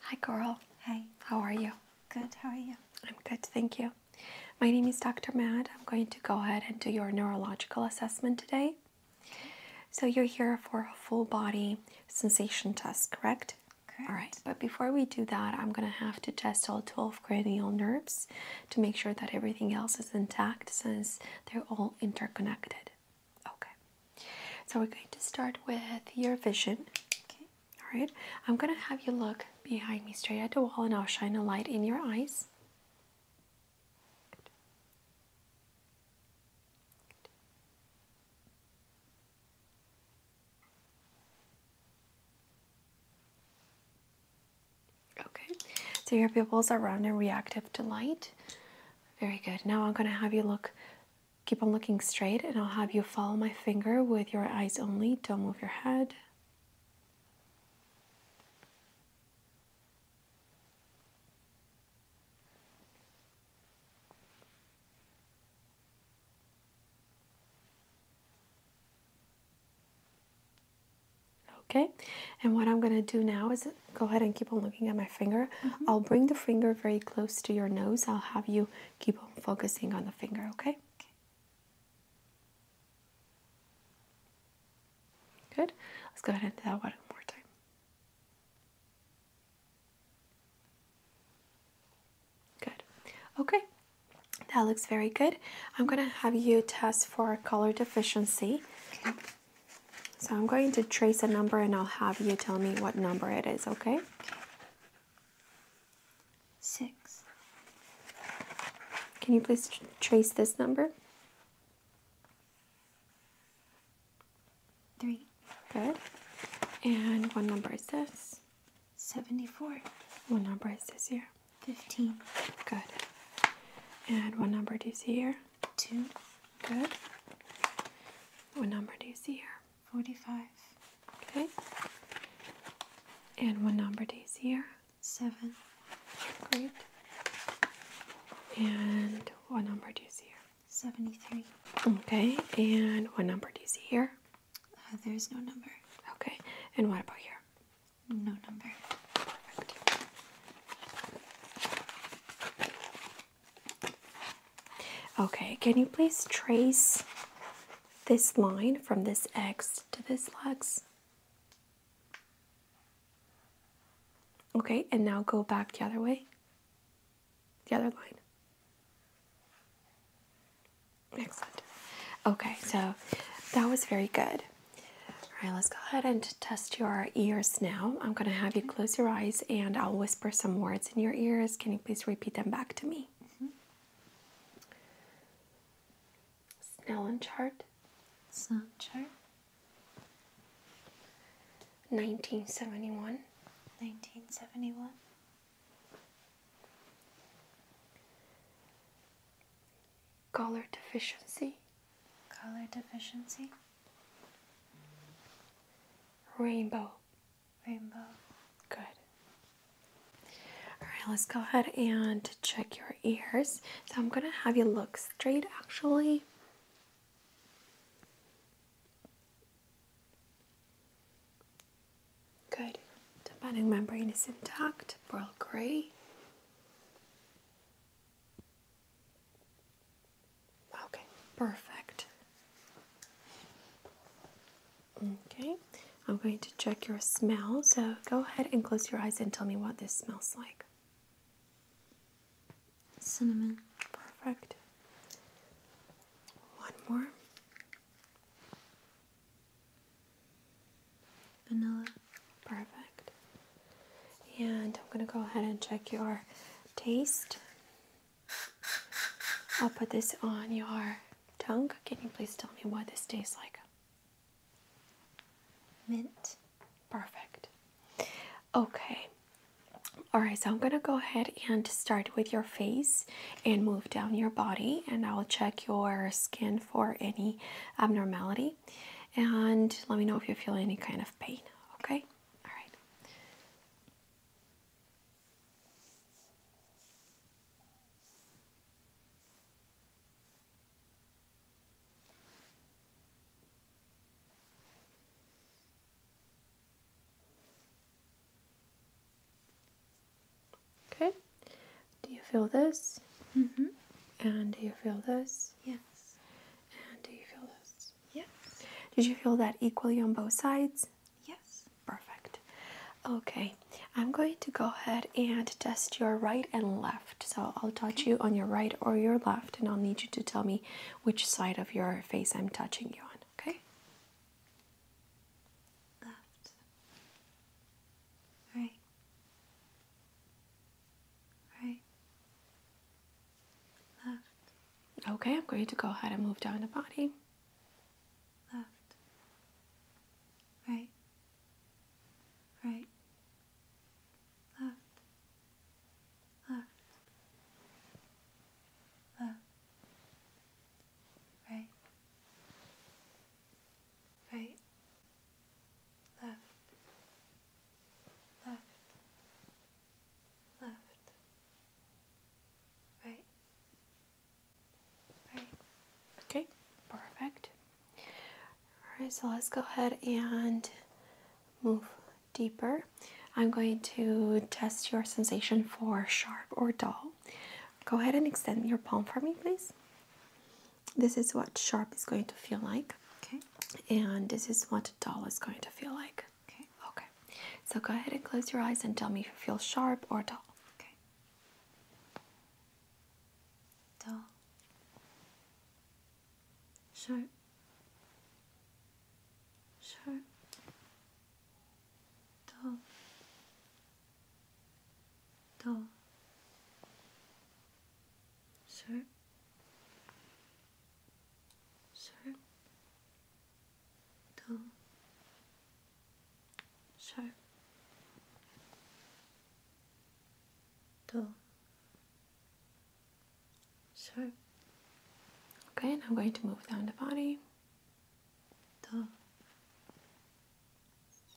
Hi, Carl. Hi. How are you? Good. How are you? I'm good. Thank you. My name is Dr. Mad. I'm going to go ahead and do your neurological assessment today. So you're here for a full body sensation test, correct? Correct. All right. But before we do that, I'm going to have to test all 12 cranial nerves to make sure that everything else is intact since they're all interconnected. Okay, so we're going to start with your vision. all right, I'm gonna have you look behind me straight at the wall and I'll shine a light in your eyes. Okay, so your pupils are round and reactive to light. Very good. Now I'm going to have you look, keep on looking straight, and I'll have you follow my finger with your eyes only. Don't move your head. Okay, and what I'm going to do now is go ahead and keep on looking at my finger. Mm-hmm. I'll bring the finger very close to your nose. I'll have you keep on focusing on the finger, okay? okay. Good. Let's go ahead and do that one more time. Good. Okay, that looks very good. I'm going to have you test for color deficiency. So I'm going to trace a number and I'll have you tell me what number it is, okay? Six. Can you please trace this number? Three. Good. And one number is this? 74. One number is this here? 15. Good. And what number do you see here? 2. Good. What number do you see here? 45. Okay. And what number do you see here? 7. Great. And what number do you see here? 73. Okay. And what number do you see here? Uh, there's no number. Okay. And what about here? No number. Perfect. Okay, can you please trace this line from this X to this X? Okay, and now go back the other way. The other line. Excellent. Okay, so that was very good. All right, let's go ahead and test your ears now. I'm going to have you close your eyes and I'll whisper some words in your ears. Can you please repeat them back to me? Mm -hmm. Snellen chart. Snellen chart. 1971. 1971. Color deficiency. Color deficiency. Rainbow. Rainbow. Good. All right, let's go ahead and check your ears. So I'm going to have you look straight actually. Good. The bonding membrane is intact. Pearl gray. Okay, perfect. Okay, I'm going to check your smell. So go ahead and close your eyes and tell me what this smells like. Cinnamon. Perfect. One more. Vanilla. Perfect. And I'm going to go ahead and check your taste. I'll put this on your tongue. Can you please tell me what this tastes like? Mint. Perfect. Okay. Alright, so I'm going to go ahead and start with your face and move down your body, and I'll check your skin for any abnormality and let me know if you feel any kind of pain. Okay? All right. Okay. Do you feel this? Mm hmm. And do you feel this? Yes. And do you feel this? Yes. Did you feel that equally on both sides? Yes. Perfect. Okay. I'm going to go ahead and test your right and left. So I'll touch you on your right or your left, and I'll need you to tell me which side of your face I'm touching you on, okay? Left. Right. Right. Left. Okay, I'm going to go ahead and move down the body. Left. Right. Right. Left. Left. Left. Right right, left, left, left, right, right. Okay, perfect. Alright, so let's go ahead and move deeper. I'm going to test your sensation for sharp or dull. Go ahead and extend your palm for me, please this is what sharp is going to feel like and this is what dull is going to feel like okay okay so go ahead and close your eyes and tell me if you feel sharp or dull okay dull sharp sharp dull どうするするどうするどうする Okay, and I'm going to move down the body. と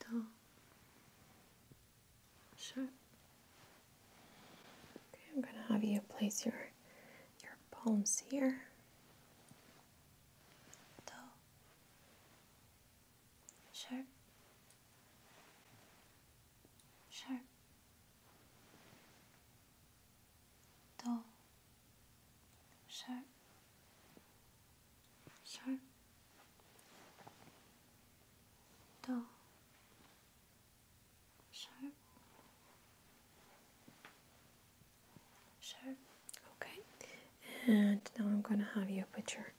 dull, sharp. Okay, I'm going to have you place your your palms here. Dull, sharp, sharp, dull, sharp. 셜, 더, 셜, 셜. Okay, and now I'm going to have you put your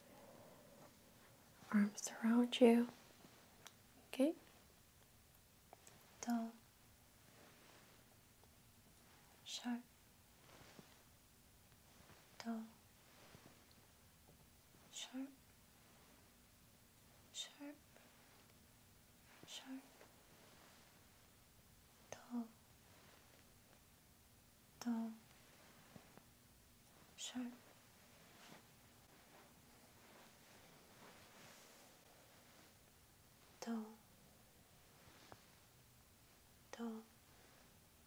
arms around you. Okay, 더, 셜, dull, sharp, sharp, sharp, dull, dull, sharp. Dull, dull,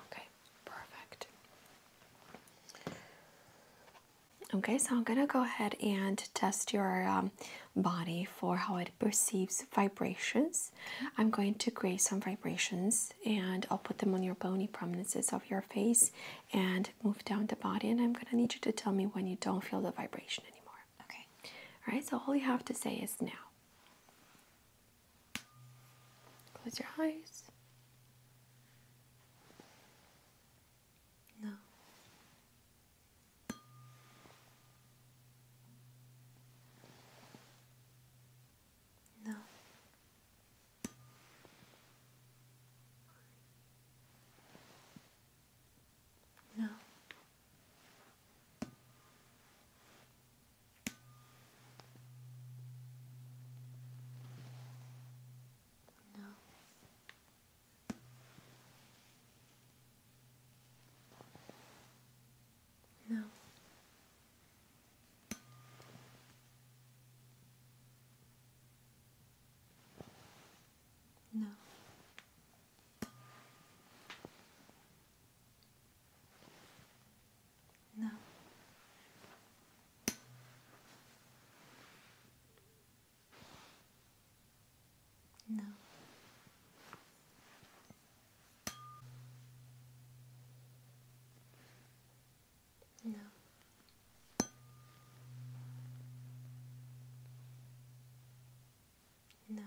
okay, perfect. Okay, so I'm gonna go ahead and test your um, body for how it perceives vibrations. Mm-hmm. I'm going to create some vibrations and I'll put them on your bony prominences of your face and move down the body. And I'm gonna need you to tell me when you don't feel the vibration anymore. Okay. All right, so all you have to say is now. Close your eyes. No. No. No. No. No. No. No. No. No. No.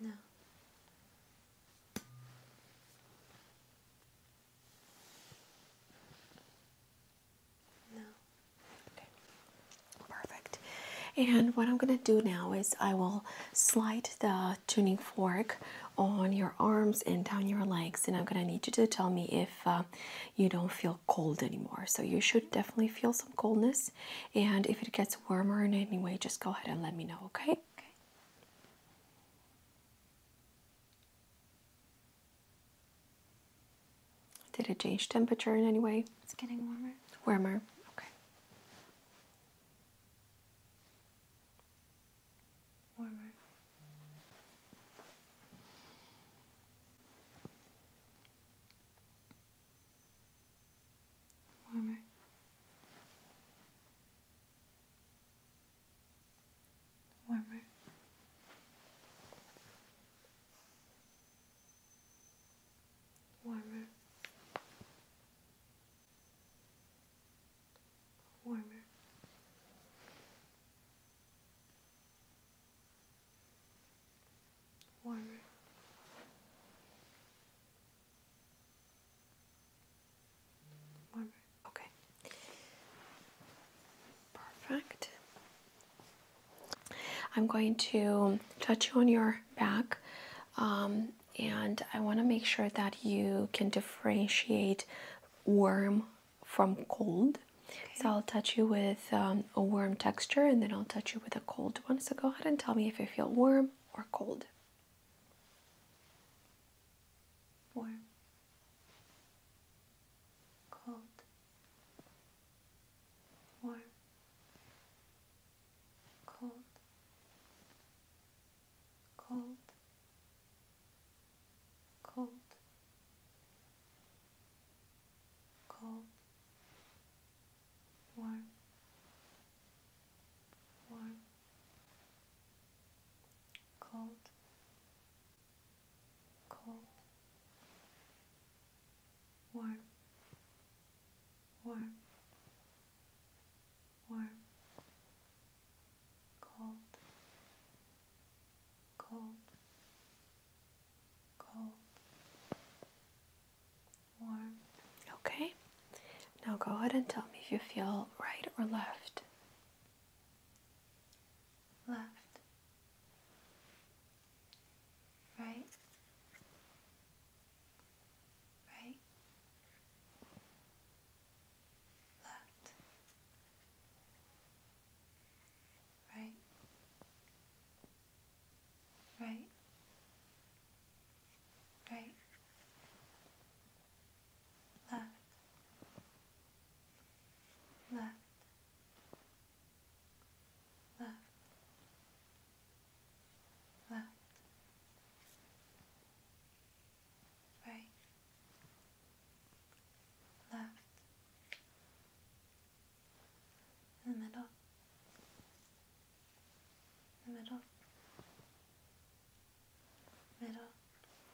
No. No. Perfect. And what I'm going to do now is I will slide the tuning fork on your arms and down your legs. And I'm gonna need you to tell me if uh, you don't feel cold anymore. So you should definitely feel some coldness. And if it gets warmer in any way, just go ahead and let me know, okay? okay. Did it change temperature in any way? It's getting warmer. Warmer, okay warmer. Warmer. Warmer. Warmer warmer. Warmer. Warmer. Okay. Perfect. I'm going to touch you on your back, um, and I want to make sure that you can differentiate warm from cold. So I'll touch you with um, a warm texture and then I'll touch you with a cold one. So go ahead and tell me if you feel warm or cold. Warm. Cold. Warm. Cold cold, cold, cold, warm, warm, cold, cold, warm, warm, warm cold, cold, cold, warm. Okay, now go ahead and tell me if you feel right or left. Left, right, right, left, right, right, right, left, left, left, left right, left, the middle, the middle, middle.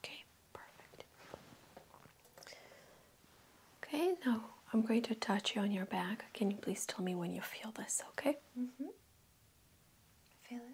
Okay, perfect. Okay, now I'm going to touch you on your back. Can you please tell me when you feel this, okay? hmm Feel it.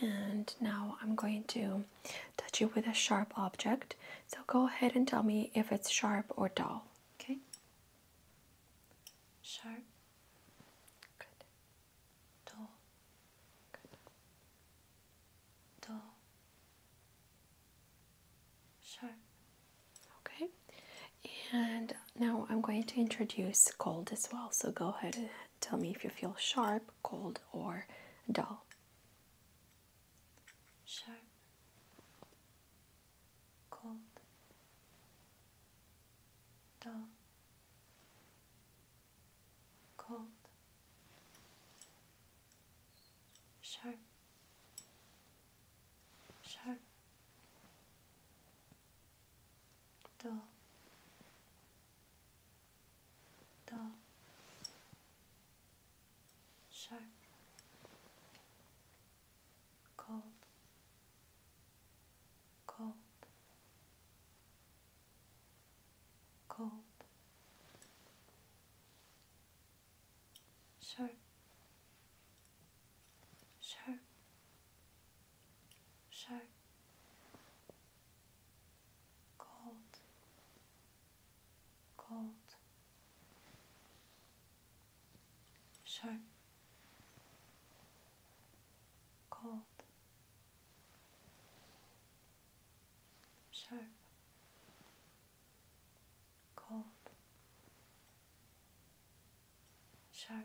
And now I'm going to touch it with a sharp object. So go ahead and tell me if it's sharp or dull. Okay. Sharp. Good. Dull. Good. Dull. Sharp. Okay. And now I'm going to introduce cold as well. So go ahead Tell me if you feel sharp, cold, or dull. Sharp, cold, dull, cold, sharp, sharp, dull dull, sharp, cold, cold, cold, sharp, sharp, sharp cold, cold, sharp, cold, sharp, cold, sharp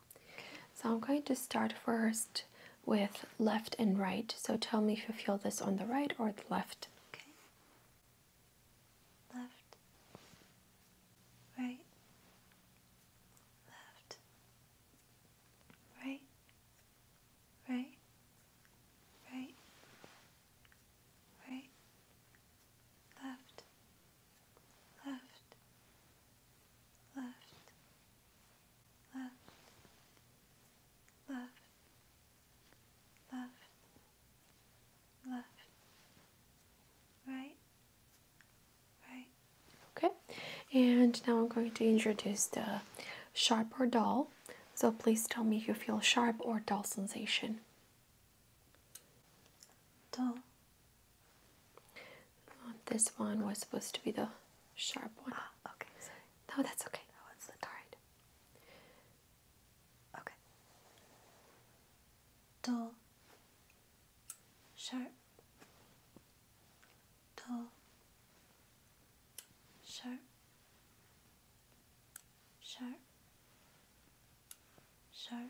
So I'm going to start first with left and right. So tell me if you feel this on the right or the left. Okay. Left. Right. Left. Right. Right. Right. Right. Left left, left, left, left, left, left, right, right. Okay, and now I'm going to introduce the sharp or dull. So please tell me if you feel sharp or dull sensation dull. this one was supposed to be the sharp one. Ah, okay. No, that's okay. Oh, one's the tired. Okay. Dull. Sharp. Dull. Sharp. Sharp. Sharp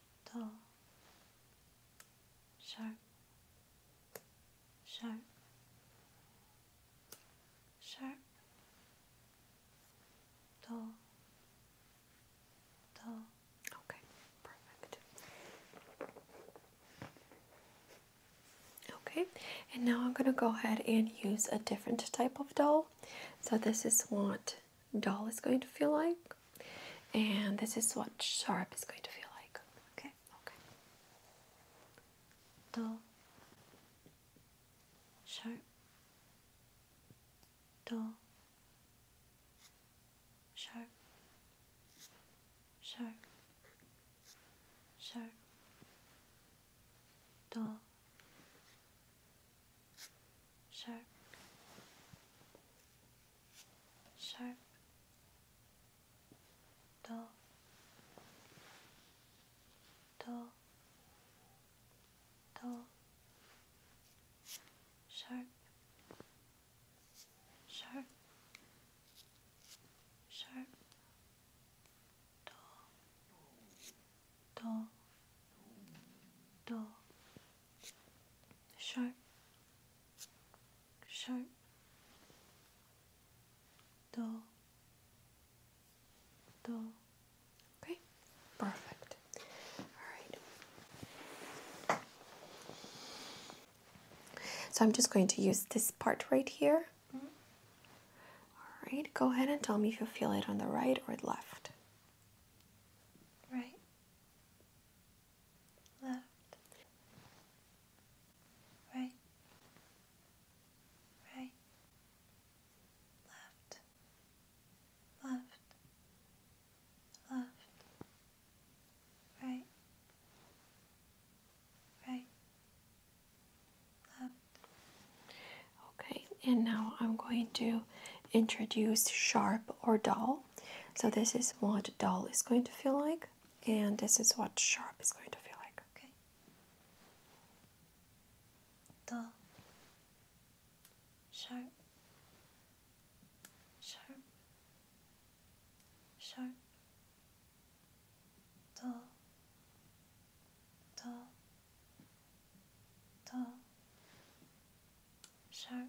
dull, sharp, sharp, sharp, dull, dull. Okay, perfect. Okay, and now I'm going to go ahead and use a different type of doll. So, this is what doll is going to feel like. And this is what sharp is going to feel like. Okay? Okay. Do. Sharp. Do. Sharp. Sharp. Sharp. Do. Sharp sharp, Do. Do. Do. sharp, sharp, sharp, Do. Do. Do sharp, sharp, dull, dull. Okay, perfect. All right. So I'm just going to use this part right here. All right, go ahead and tell me if you feel it on the right or left. Right left, right, right, left, left, left, right, right, left. Okay, and now I'm going to Introduce sharp or dull. So this is what dull is going to feel like, and this is what sharp is going to feel like. Okay. Dull. Sharp. Sharp. Sharp. Dull. Dull. Dull. Sharp.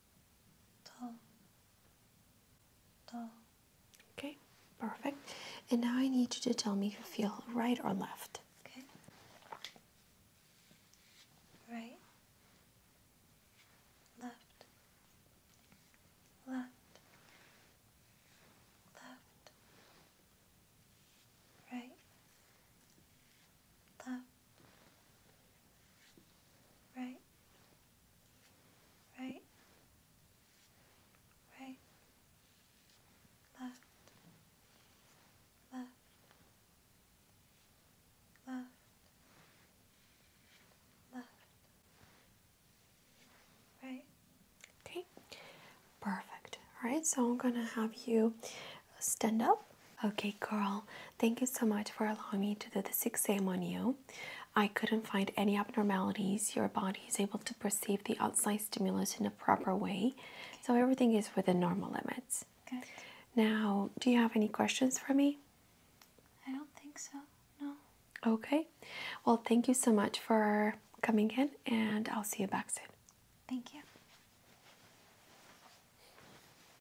Okay, perfect. And now I need you to tell me if you feel right or left. Okay. Right. Left. Left. Left. Right. Left. Right. Right. Right. Left. Left. Left. Left. Right. Okay. Perfect. All right. So I'm going to have you stand up Okay, girl, thank you so much for allowing me to do this exam on you. I couldn't find any abnormalities. Your body is able to perceive the outside stimulus in a proper way, so everything is within normal limits. Good. Now, do you have any questions for me? I don't think so, no. Okay, well, thank you so much for coming in, and I'll see you back soon. Thank you.